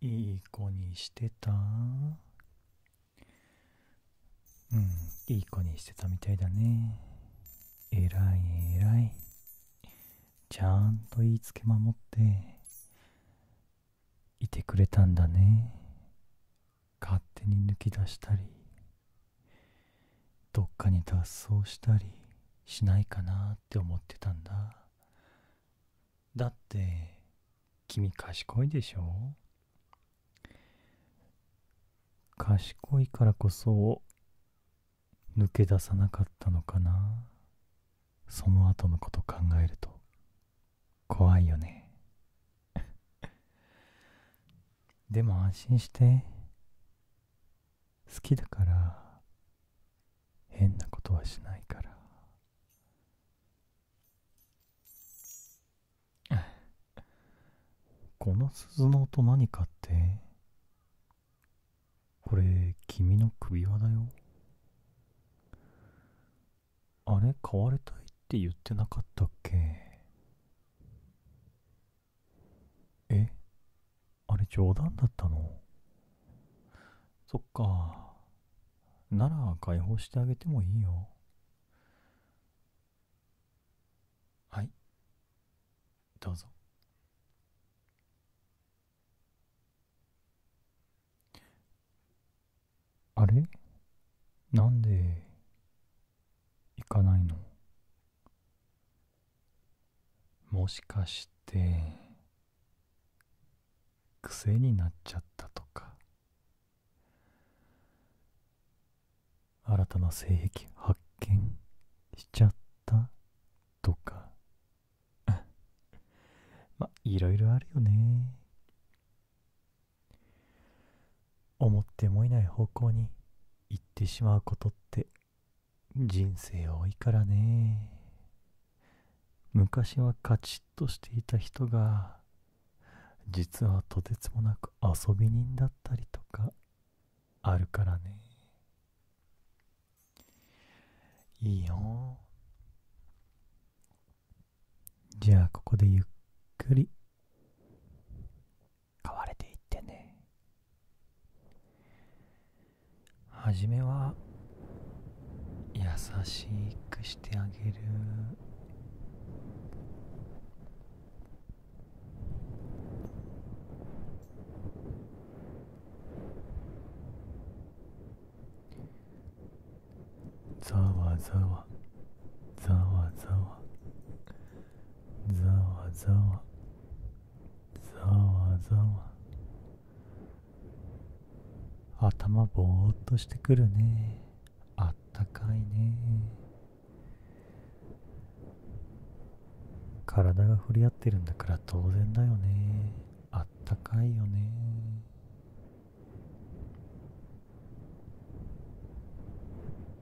いい子にしてたうんいい子にしてたみたいだねえらいえらいちゃんと言いつけ守っていてくれたんだね勝手に抜き出したりどっかに脱走したりしないかなって思ってたんだだって君賢いでしょ賢いからこそ抜け出さなかったのかなその後のこと考えると怖いよね でも安心して好きだから変なことはしないから この鈴の音何かってこれ君の首輪だよあれ買われたいって言ってなかったっけえあれ冗談だったのそっか。なら解放してあげてもいいよ。はい。どうぞ。あれなんで行かないのもしかして癖になっちゃったとか新たな性癖発見しちゃったとか まあいろいろあるよね思ってもいない方向に行ってしまうことって人生多いからね昔はカチッとしていた人が実はとてつもなく遊び人だったりとかあるからねいいよじゃあここでゆっくり変われていってね初めは優しくしてあげるざわざわざわざわざわざわざわざわ頭ぼーっとしてくるねあったかいね体が触れ合ってるんだから当然だよねあったかいよね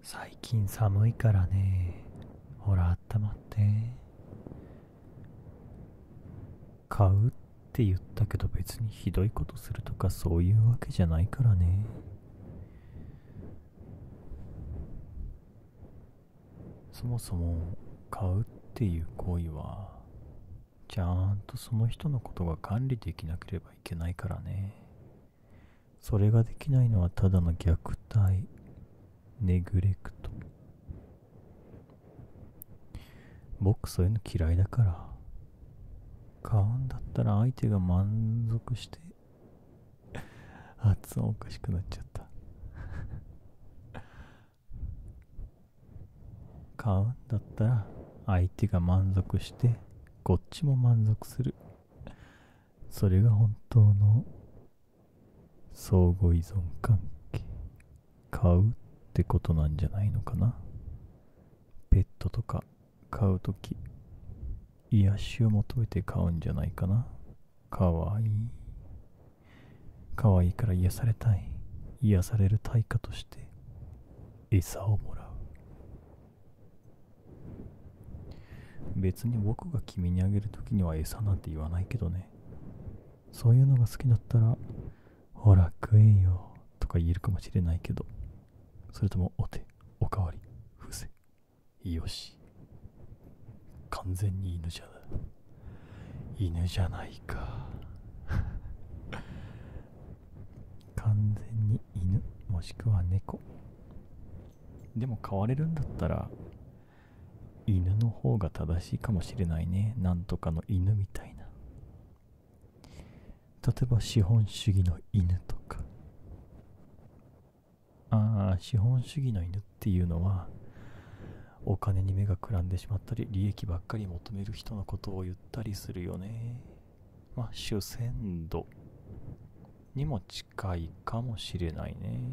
最近寒いからねほらあったまって買うって言ったけど別にひどいことするとかそういうわけじゃないからねそもそも買うっていう行為はちゃんとその人のことが管理できなければいけないからねそれができないのはただの虐待ネグレクト僕そういうの嫌いだから買うんだったら相手が満足して発音おかしくなっちゃった買うんだったら相手が満足してこっちも満足するそれが本当の相互依存関係買うってことなんじゃないのかなペットとか買うとき癒しを求めて買うんじゃないかなかわいいかわいいから癒されたい癒される対価として餌をもらう別に僕が君にあげるときには餌なんて言わないけどねそういうのが好きだったら、ほら食えよとか言えるかもしれないけど、それともお手、おかわり、伏せ、よし。完全に犬じゃな犬じゃないか。完全に犬、もしくは猫。でも飼われるんだったら、犬の方が正しいかもしれないねなんとかの犬みたいな例えば資本主義の犬とかああ資本主義の犬っていうのはお金に目がくらんでしまったり利益ばっかり求める人のことを言ったりするよねまあ主戦度にも近いかもしれないね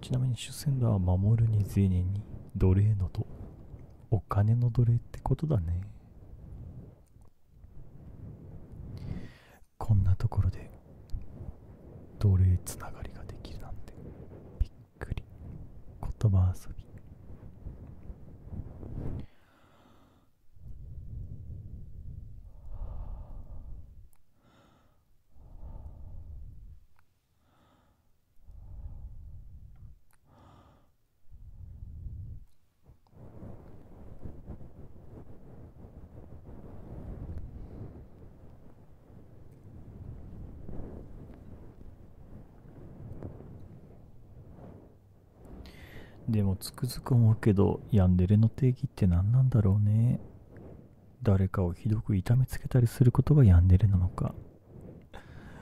ちなみに主戦度は守るに銭に奴隷のとお金の奴隷ってことだねこんなところで奴隷つながりができるなんてびっくり言葉遊びでもつくづく思うけどヤンデレの定義って何なんだろうね誰かをひどく痛めつけたりすることがヤンデレなのか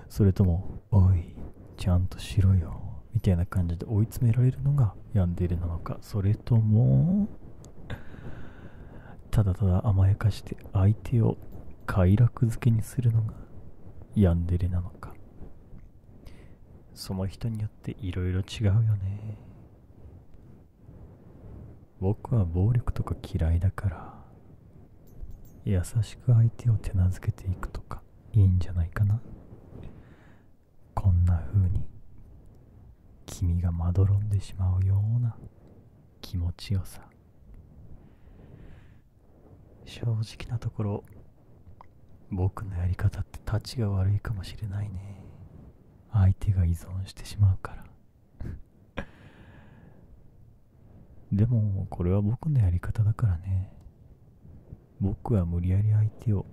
それとも「おいちゃんとしろよ」みたいな感じで追い詰められるのがヤンデレなのかそれともただただ甘やかして相手を快楽づけにするのがヤンデレなのかその人によっていろいろ違うよね僕は暴力とか嫌いだから優しく相手を手なずけていくとかいいんじゃないかなこんな風に君がまどろんでしまうような気持ちよさ正直なところ僕のやり方ってたちが悪いかもしれないね相手が依存してしまうから でもこれは僕のやり方だからね僕は無理やり相手を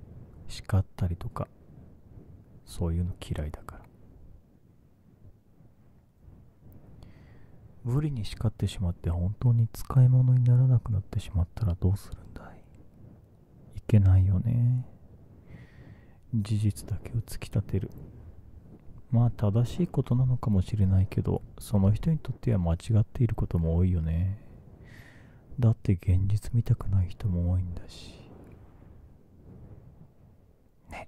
叱ったりとかそういうの嫌いだから無理に叱ってしまって本当に使い物にならなくなってしまったらどうするんだいいけないよね事実だけを突き立てるまあ正しいことなのかもしれないけどその人にとっては間違っていることも多いよねだって現実見たくない人も多いんだしね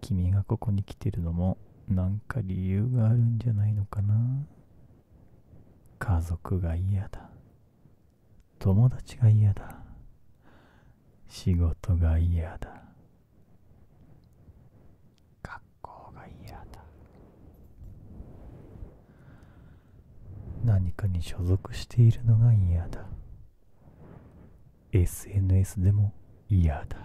君がここに来てるのもなんか理由があるんじゃないのかな家族が嫌だ友達が嫌だ仕事が嫌だ学校が嫌だ何かに所属しているのが嫌だ SNS でも嫌だ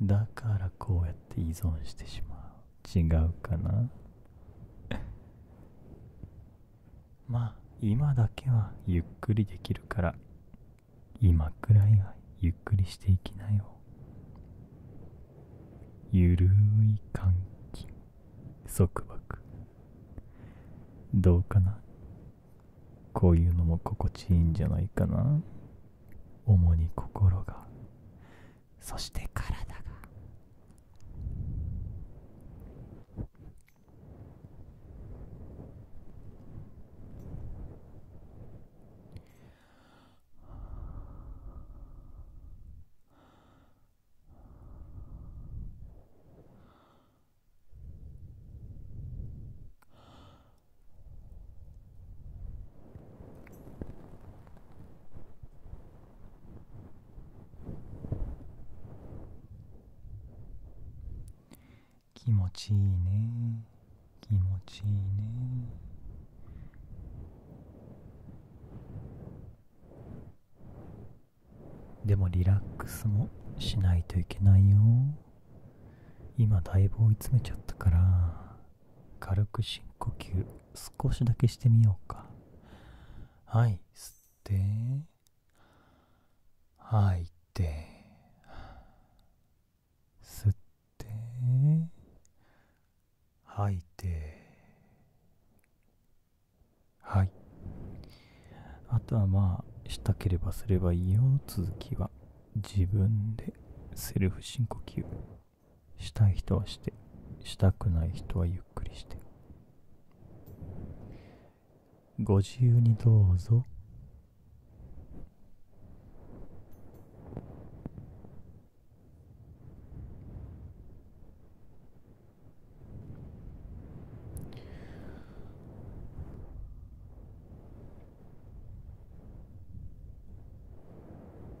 だからこうやって依存してしまう違うかな まあ今だけはゆっくりできるから今くらいはゆっくりしていきなよゆるい換気束縛どうかなこういうのも心地いいんじゃないかな主に心がそして体が気持ちいいね気持ちいいねでもリラックスもしないといけないよ今だいぶ追い詰めちゃったから軽く深呼吸少しだけしてみようかはい吸って吐いて吸って吐いてはいあとはまあしたければすればいいよ続きは自分でセルフ深呼吸したい人はしてしたくない人はゆっくりしてご自由にどうぞ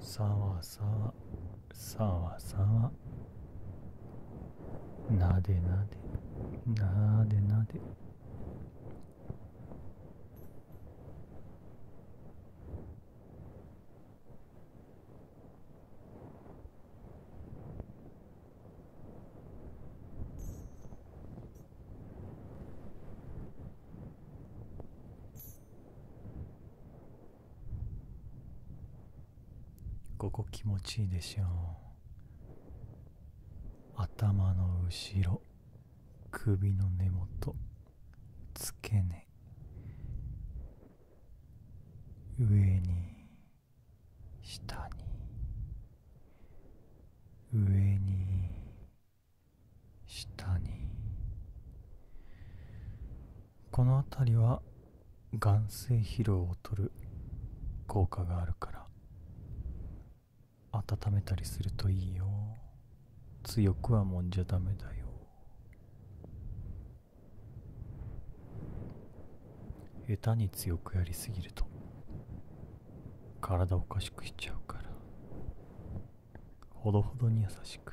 さわさわさわさわなでなでなでなでここ気持ちいいでしょう頭の後ろ首の根元付け根上に下に上に下にこの辺りは眼性疲労を取る効果があるから温めたりするといいよ強くはもんじゃダメだよ下手に強くやりすぎると体おかしくしちゃうからほどほどに優しく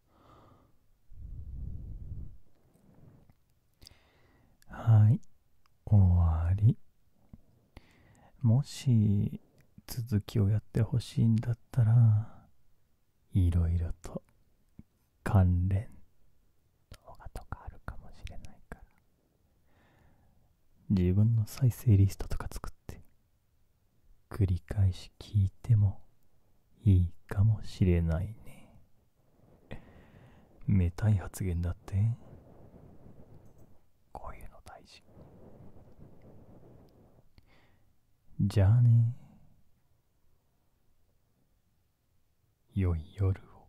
はい終わりもし続きをやってほしいんだったらいろいろと関連動画とかあるかもしれないから自分の再生リストとか作って繰り返し聞いてもいいかもしれないね。めたい発言だって。こういうの大事。じゃあね。良い夜を。